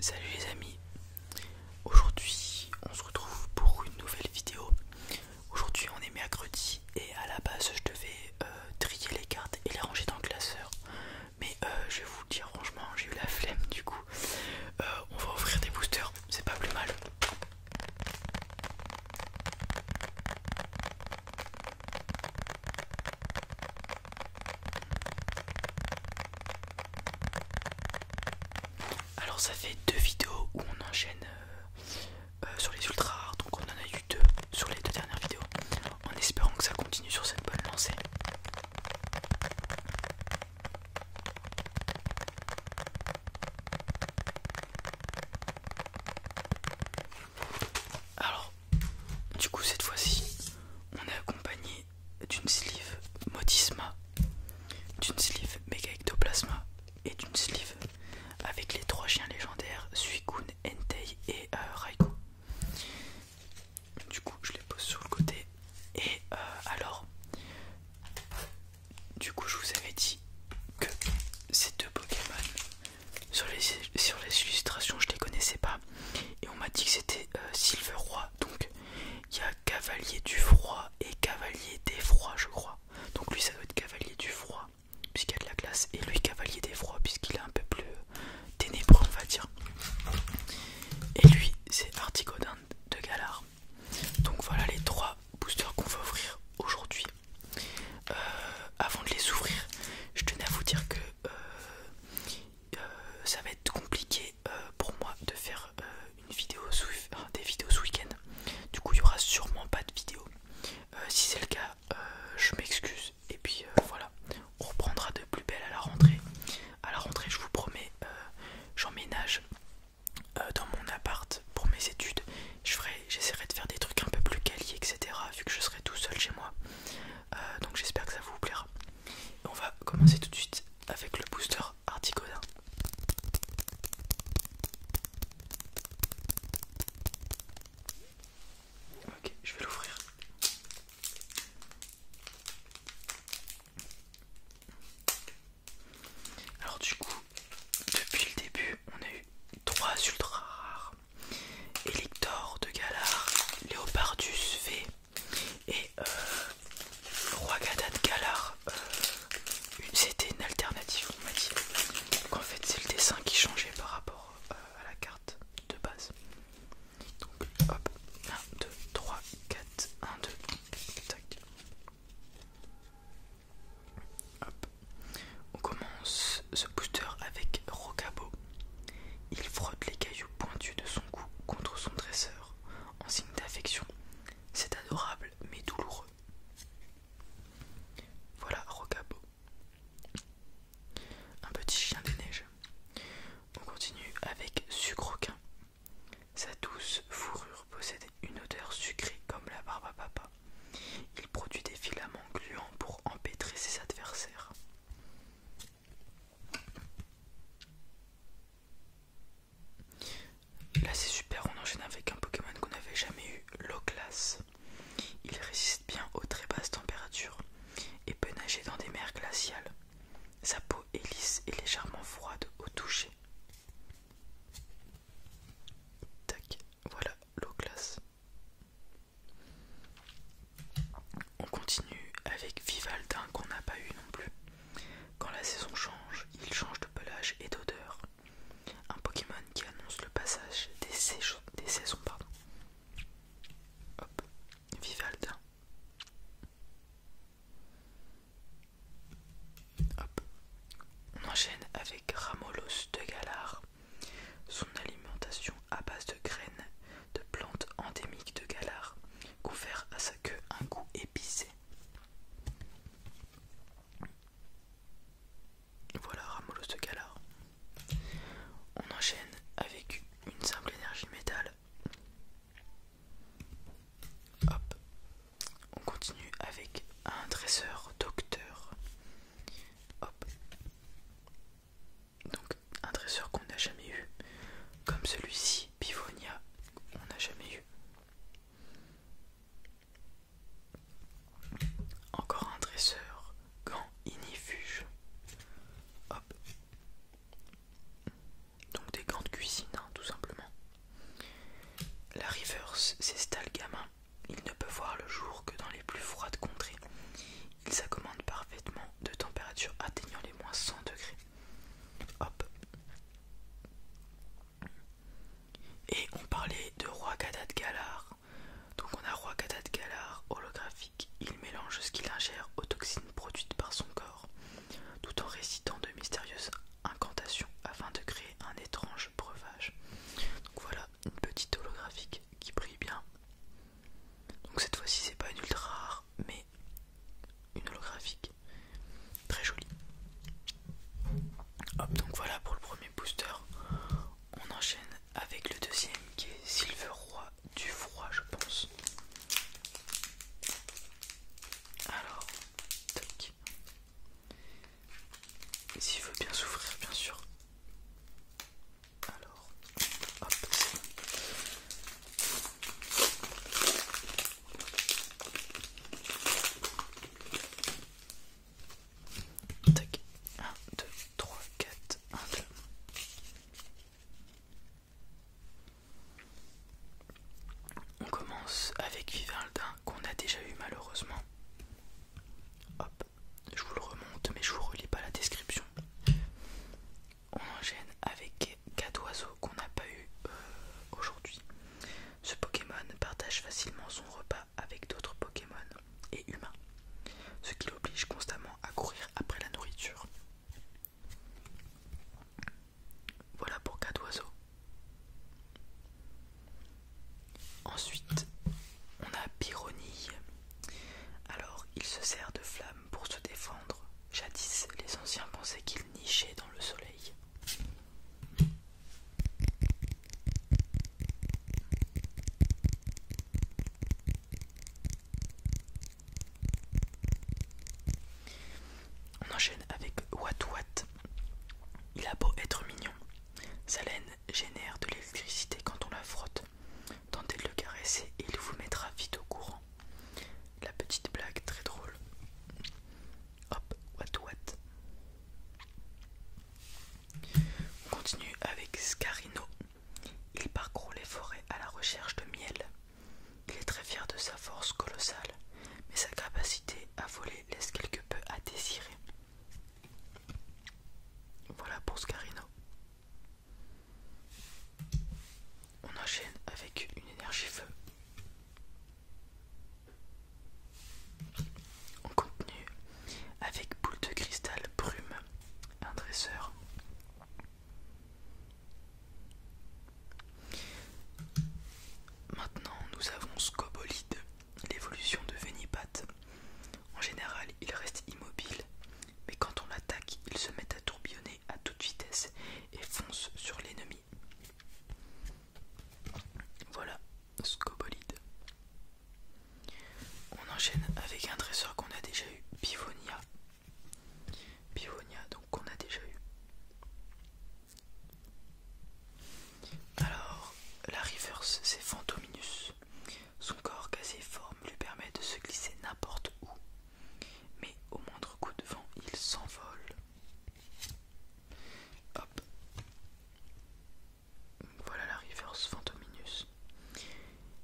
Salut les amis, aujourd'hui on se retrouve pour une nouvelle vidéo. Aujourd'hui on est mercredi et à la base je devais euh, trier les cartes et les ranger dans le classeur. Mais euh, je vais vous dire j'ai eu la flemme du coup. Euh, on va offrir des boosters, c'est pas plus mal. Alors ça fait deux vidéos où on enchaîne euh, euh, sur les ultra donc on en a eu deux sur les deux dernières vidéos, en espérant que ça continue sur cette bonne lancée. Alors, du coup cette fois-ci, on a accompagné d'une sleeve Modisma, d'une sleeve Mega et d'une sleeve avec les trois chiens légendaires Suikun, Entei et euh, Raikou. Du coup, je les pose sur le côté. Et euh, alors, du coup, je vous avais dit que ces deux Pokémon, sur les, sur les illustrations, je les connaissais pas et on m'a dit que c'était euh, Silver Donc il y a Cavalier du Froid et Cavalier des Froids, je crois. Donc lui, ça doit être Cavalier du Froid, puisqu'il y a de la glace, et lui, Cavalier des Froids, puisqu'il est un peu plus euh, ténébreux, on va dire. Et lui, c'est Artigaudin de Galar. Donc voilà les trois boosters qu'on va ouvrir aujourd'hui. Euh, avant de les ouvrir, je tenais à vous dire que. Euh, ça va être compliqué euh, pour moi de faire euh, une vidéo des vidéos ce week-end. Du coup, il y aura sûrement pas de vidéos si c'est le cas, je m'excuse. Et puis voilà, on reprendra de plus belle à la rentrée. À la rentrée, je vous promets, j'emménage dans mon appart pour mes études. J'essaierai de faire des trucs un peu plus quali, etc. Vu que je serai tout seul chez moi. Euh, donc j'espère que ça vous plaira. on va commencer tout de suite avec le booster Articoda. Ok, je vais l'ouvrir. Alors du coup, depuis le début, on a eu trois ultra rares. Élector de Galar, Léopardus V et euh, Roi de Galar, euh, c'était une alternative, on Donc en fait, c'est le dessin qui changeait par rapport euh, à la carte de base. Donc hop, 1, 2, 3, 4, 1, 2, tac. On commence ce booster avec Rocabo il frotte les cailloux pointus de son cou contre son dresseur en signe d'affection. C'est adorable mais douloureux. Voilà Rocabo. Un petit chien des neiges. On continue avec Sucroquin. Sa douce fourrure possède une odeur sucrée comme la barbe à papa. Il produit des filaments gluants pour empêtrer ses adversaires. Là c'est super, on enchaîne avec un Pokémon qu'on n'avait jamais eu, l'eau Il résiste bien aux très basses températures et peut nager dans des mers glaciales. Sa peau est lisse et légèrement froide au toucher. Tac, voilà l'eau on continue avec Vivaldin qu'on n'a pas eu non plus. Quand la saison change, il change de pelage et d'odeur. Un Pokémon qui annonce le passage des, saisons, Hop, Vivaldin. Hop. On enchaîne avec Ramolos de Galar. Son alimentation à base de graines de plantes endémiques de Galard, confère à sa queue un goût épicé. Voilà Ramolos de Galard. On enchaîne avec une simple énergie métal. Hop. On continue avec un dresseur docteur. Hop donc un dresseur qu'on n'a jamais eu, comme celui-ci, Pivonia, on n'a jamais eu. Encore un dresseur, gants inifuge. Hop. Donc des gants de cuisine, hein, tout simplement. La Reverse, s'estale gamin. Il ne peut voir le jour que dans les plus froides contrées. Il s'accommode parfaitement de température atteignant les moins 100 degrés. Hop. Et on parlait de Roi Gadad Galar. Donc on a Roi Gadad Galar holographique. Il mélange ce qu'il ingère aux toxines produites par son corps, tout en récitant de mystérieuses incantations afin de créer un étrange breuvage. Donc voilà, une petite holographique qui brille bien. Donc cette fois-ci c'est pas une ultra rare, mais une holographique très jolie. Hop, donc voilà pour le premier booster. On enchaîne avec le deuxième qui est Silver Roi du Froid, je pense. Alors, toc. S'il veut bien souffrir bien sûr. Alors, hop, Tac, 1, 2, 3, 4, 1, 2. On commence avec Vivaldin qu'on a déjà eu malheureusement. Hop, je vous le remonte mais je vous relis pas la description on en gêne avec Cat oiseaux qu'on n'a pas eu euh, aujourd'hui. Ce Pokémon partage facilement son repas avec d'autres Pokémon et humains, ce qui l'oblige constamment à courir après la nourriture. Voilà pour Cat oiseaux. Ensuite, on a Pyronie. Alors il se sert de flammes pour se défendre. Jadis, les anciens pensaient qu'il nichait dans le soleil. On enchaîne avec Wat Watt. Il a beau être mignon. Sa laine génère de l'électricité quand on la frotte. Tentez de le caresser et il vous mettra vite au courant. La petite blague très drôle. Hop, what what. On continue avec Scarino. Il parcourt les forêts à la recherche de miel. Il est très fier de sa force colossale, mais sa capacité à voler laisse quelque peu à désirer. Voilà pour Scarino. On enchaîne avec une énergie feu. On continue avec boule de cristal brume, un dresseur. Maintenant, nous avons Scobolide, l'évolution de Venipat. En général, il reste immobile mais quand on l'attaque, il se met à tourbillonner à toute vitesse et fonce sur l'ennemi. Voilà, scobolide. On enchaîne avec un dresseur qu'on a déjà eu, Pivonia. Pivonia, donc qu'on a déjà eu. Alors, la reverse, c'est Fantominus. Son corps quasi-forme lui permet de se glisser n'importe où mais au moindre coup de vent, il s'envole. Hop. Voilà la reverse Phantominus.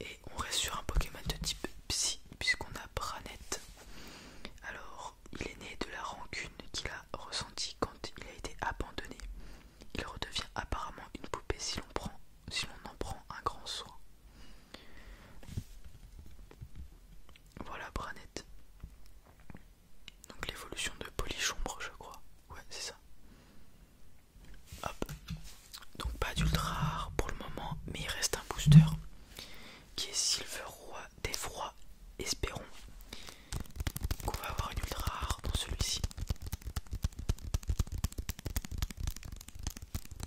Et on reste sur un Pokémon de type Psy, puisqu'on a Branette. Alors, il est né de la rancune qu'il a ressentie quand il a été abandonné. Il redevient apparemment une poupée si l'on si en prend un grand soin. Voilà Branette. Donc l'évolution de polichombre je crois. Ouais, c'est ça. Hop. Donc pas d'ultra rare pour le moment, mais il reste un booster qui est Silver Roi d'effroi, espérons qu'on va avoir une ultra rare dans celui-ci.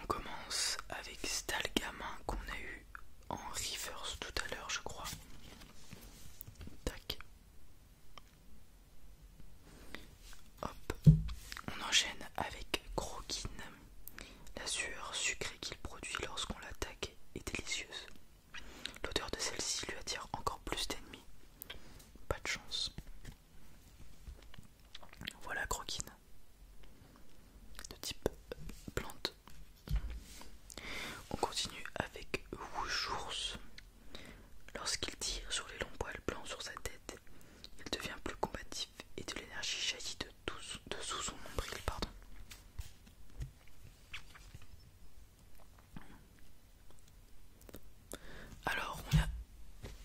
On commence avec Stalgamin qu'on a eu en reverse tout à l'heure, je crois. Tac. Hop. On enchaîne avec Croquine. La sueur sucrée qu'il produit lorsqu'on l'attaque est délicieuse. L'odeur de celle-ci lui attire encore plus d'ennemis. Pas de chance. Voilà Croquine de type euh, plante. On continue avec Woujours. Lorsqu'il tire sur les longs poils blancs sur sa tête, il devient plus combatif et de l'énergie jaillit de, de sous son nombril. Pardon. Alors, on a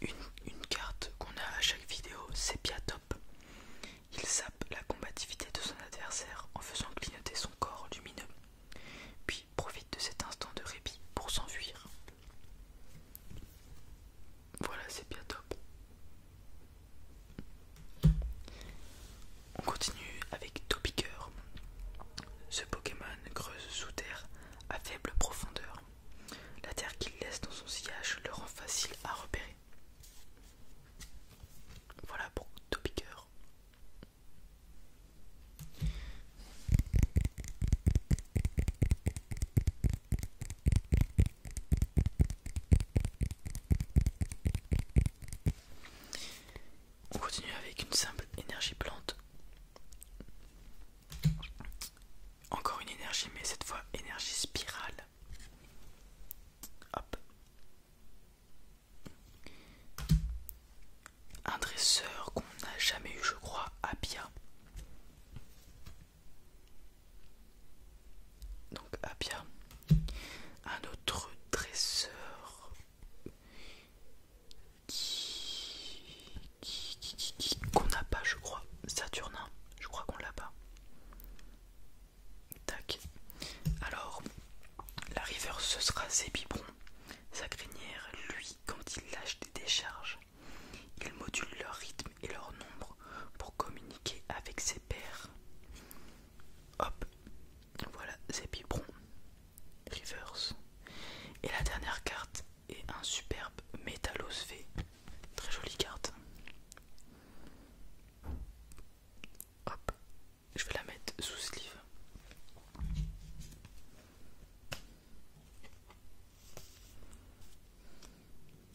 une, carte qu'on a à chaque vidéo, c'est bien Top. Il sape la combativité de son adversaire en faisant clignoter son corps lumineux, puis profite de cet instant de répit pour s'enfuir. Voilà, c'est bien Top. On continue avec Topiqueur. Ce Pokémon creuse sous terre à faible profondeur. La terre qu'il laisse dans son sillage le rend facile à repérer. Voilà pour Topiqueur. On continue avec une simple énergie plante. Encore une énergie, mais cette fois énergie spirale. Hop. Un dresseur qu'on n'a jamais eu, je crois, à Donc Abia. Un autre dresseur qui qu'on n'a pas, je crois. Saturnin, je crois qu'on l'a pas. Tac. Alors, la river, ce sera ses Sa grinière lui, quand il lâche des décharges, il module leur rythme et leur nombre pour communiquer avec ses pairs. Hop, voilà Zébibron Rivers. Et la dernière carte, et un superbe Métalos V. Très jolie carte. Hop, je vais la mettre sous sleeve.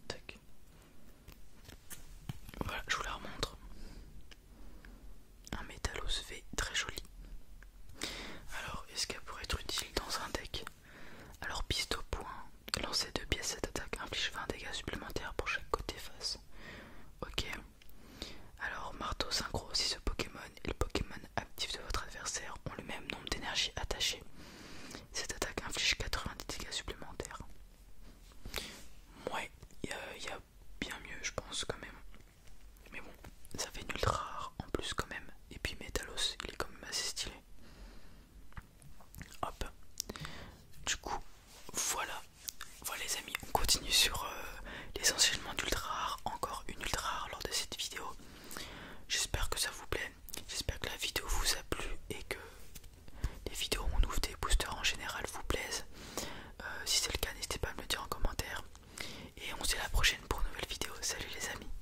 Tac. Voilà, je vous la remontre. Un métallos V très joli. Alors, est-ce qu'elle pourrait être utile dans un deck alors piste au point, lancer deux pièces cette attaque inflige 20 dégâts supplémentaires pour chaque côté face. Ok. Alors marteau synchro, si ce Pokémon et le Pokémon actif de votre adversaire ont le même nombre d'énergie attachées. Cette attaque inflige 90 dégâts supplémentaires. Ouais, il y, a bien mieux je pense quand même. Mais bon, ça fait une ultra rare en plus quand même. Et puis Metalos, il est quand même assez stylé. Hop. Du coup, voilà. Voilà les amis, on continue sur l'essentiellement euh, les d'ultra rare. Encore une ultra rare lors de cette vidéo. J'espère que ça vous plaît. J'espère que la vidéo vous a plu et que les vidéos où on ouvre des boosters en général vous plaisent. Euh, si c'est le cas, n'hésitez pas à me le dire en commentaire. Et on se dit à la prochaine pour une nouvelle vidéo. Salut les amis.